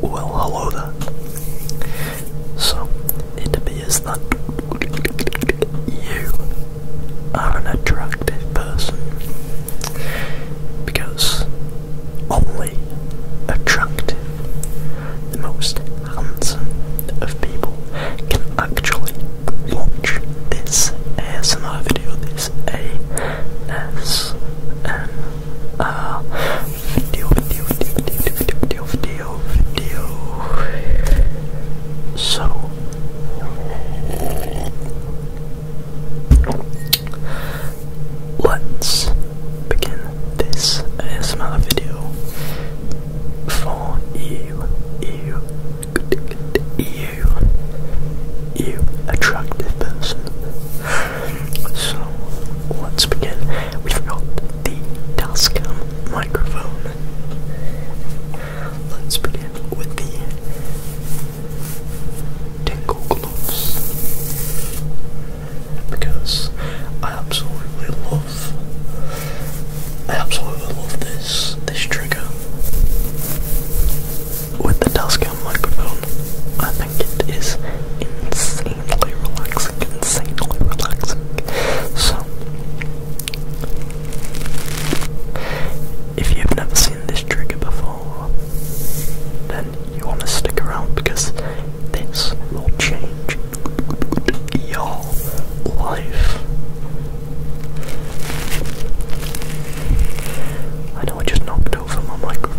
Well, hello there. So, it appears that you are an attractive person because only attractive, the most handsome of people can actually watch this ASMR video. This ASMR so, let's begin this ASMR video for you, you, you, you, attractive person. So let's begin. We forgot the Tascam microphone. Let's begin with the Tinkle Gloves. Because I absolutely love I absolutely love this this trigger. With the Tascam microphone, it is insanely relaxing, insanely relaxing. So, if you've never seen this trigger before, then you want to stick around because this will change your life. I know I just knocked knocked over my microphone.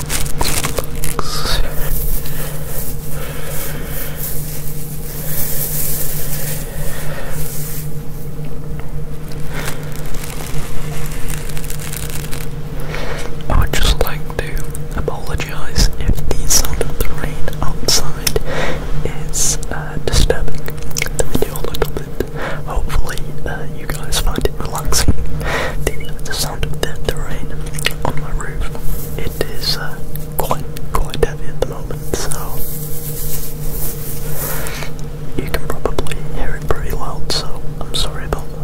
I would just like to apologise if the sound of the rain outside is uh, disturbing the video a little bit. Hopefully, uh, you guys find it relaxing. The, the sound rain on my roof. It is uh, quite quite heavy at the moment, so you can probably hear it pretty loud. So I'm sorry about that.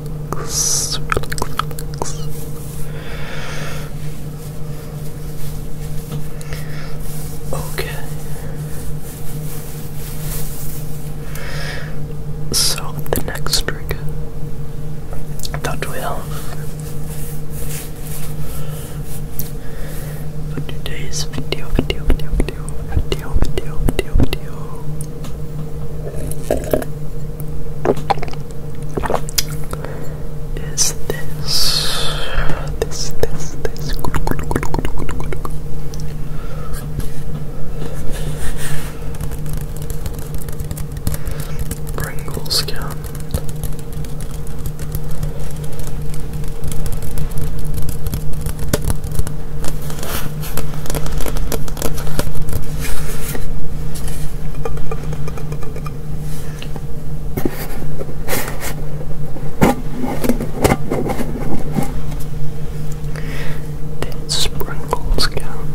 Okay. So the next trick. that we have for video, video, video, video, video, video, video, video is this this this this good good good good good good Pringles can then sprinkles down.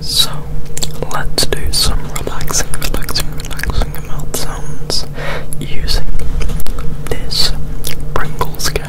So let's do some relaxing, relaxing, relaxing mouth sounds using this Pringles can.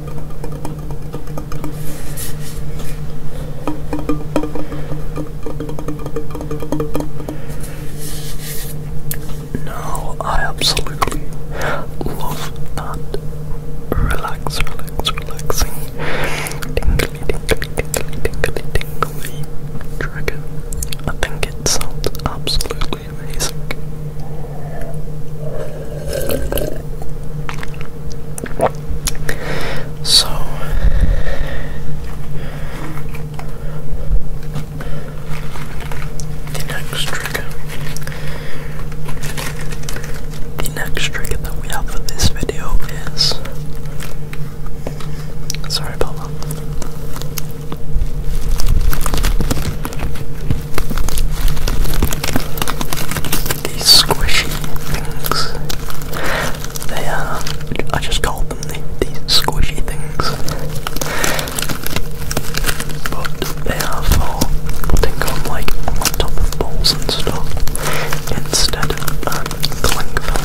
No, I absolutely love that. Relax, relax, relaxing. Tingly, tingly, tingly, tingly, tingly. Dragon. I think it sounds absolutely so, the next trigger, the next trigger that we have for this video is. Sorry about these squishy things. They are. I just called them the, these squishy things. But they are for putting on like on top of balls and stuff instead of um, cling film.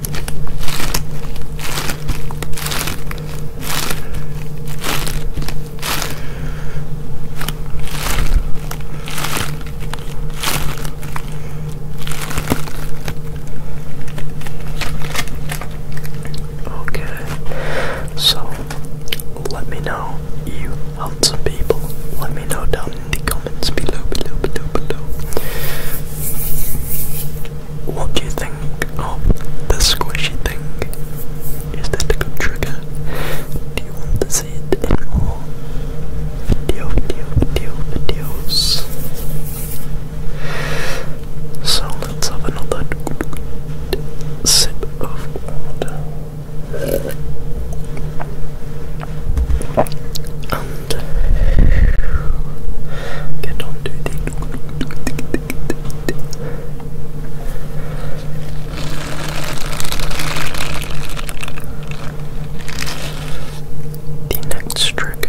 Okay, so let me know you handsome people. Let me know down in the comments below, below, below, below what do you think of the squishy thing? Is that a good trigger? Do you want to see it in more video, video, video, videos? So let's have another sip of water and get the next trick.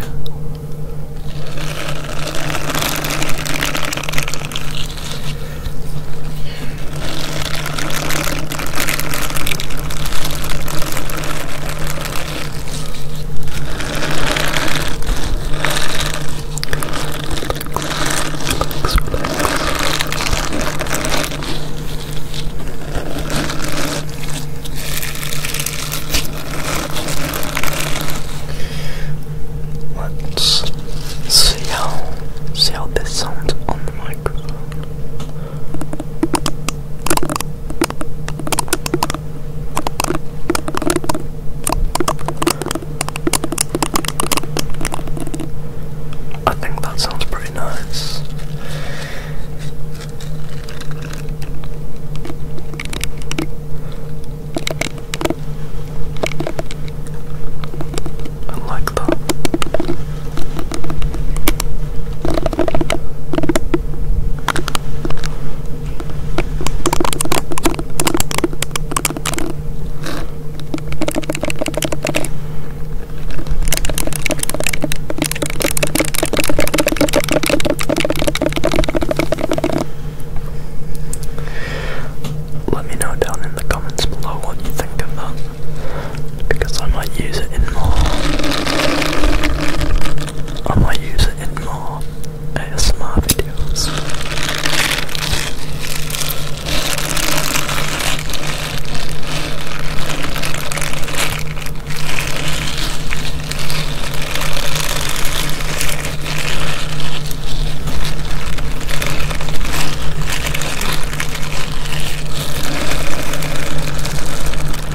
Let's see how see how this sounds on the microphone. I think that sounds pretty nice. I like that. Let me know down in the comments below what you think of that. Uh, because I might use it in more. I might use it in more ASMR videos.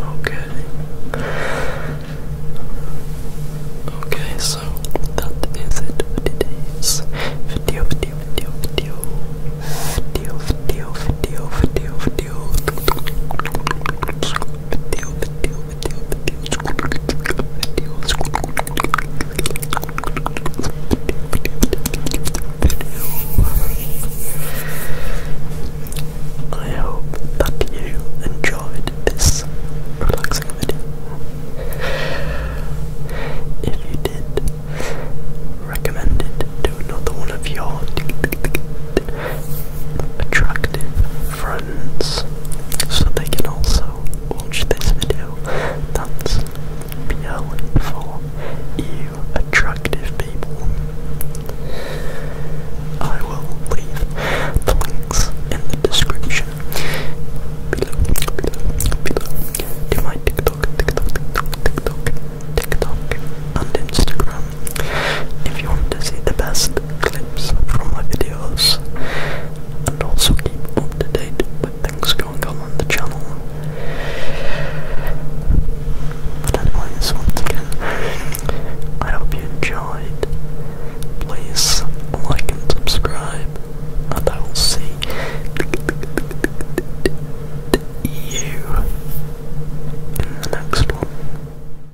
Okay. Okay, so that is it video, video, video, video, video, video, video, video, video, video, I hope that you enjoyed this relaxing video. If you did, recommend it to another one of your attractive friends friends so they can also watch this video that's BL for you attractive people. I will leave the links in the description below, below, below to my TikTok, TikTok, TikTok, TikTok, TikTok and Instagram if you want to see the best clips from my videos and also keep up to date with things going on on the channel. But anyways, once again, I hope you enjoyed. Please like and subscribe, and I will see you in the next one.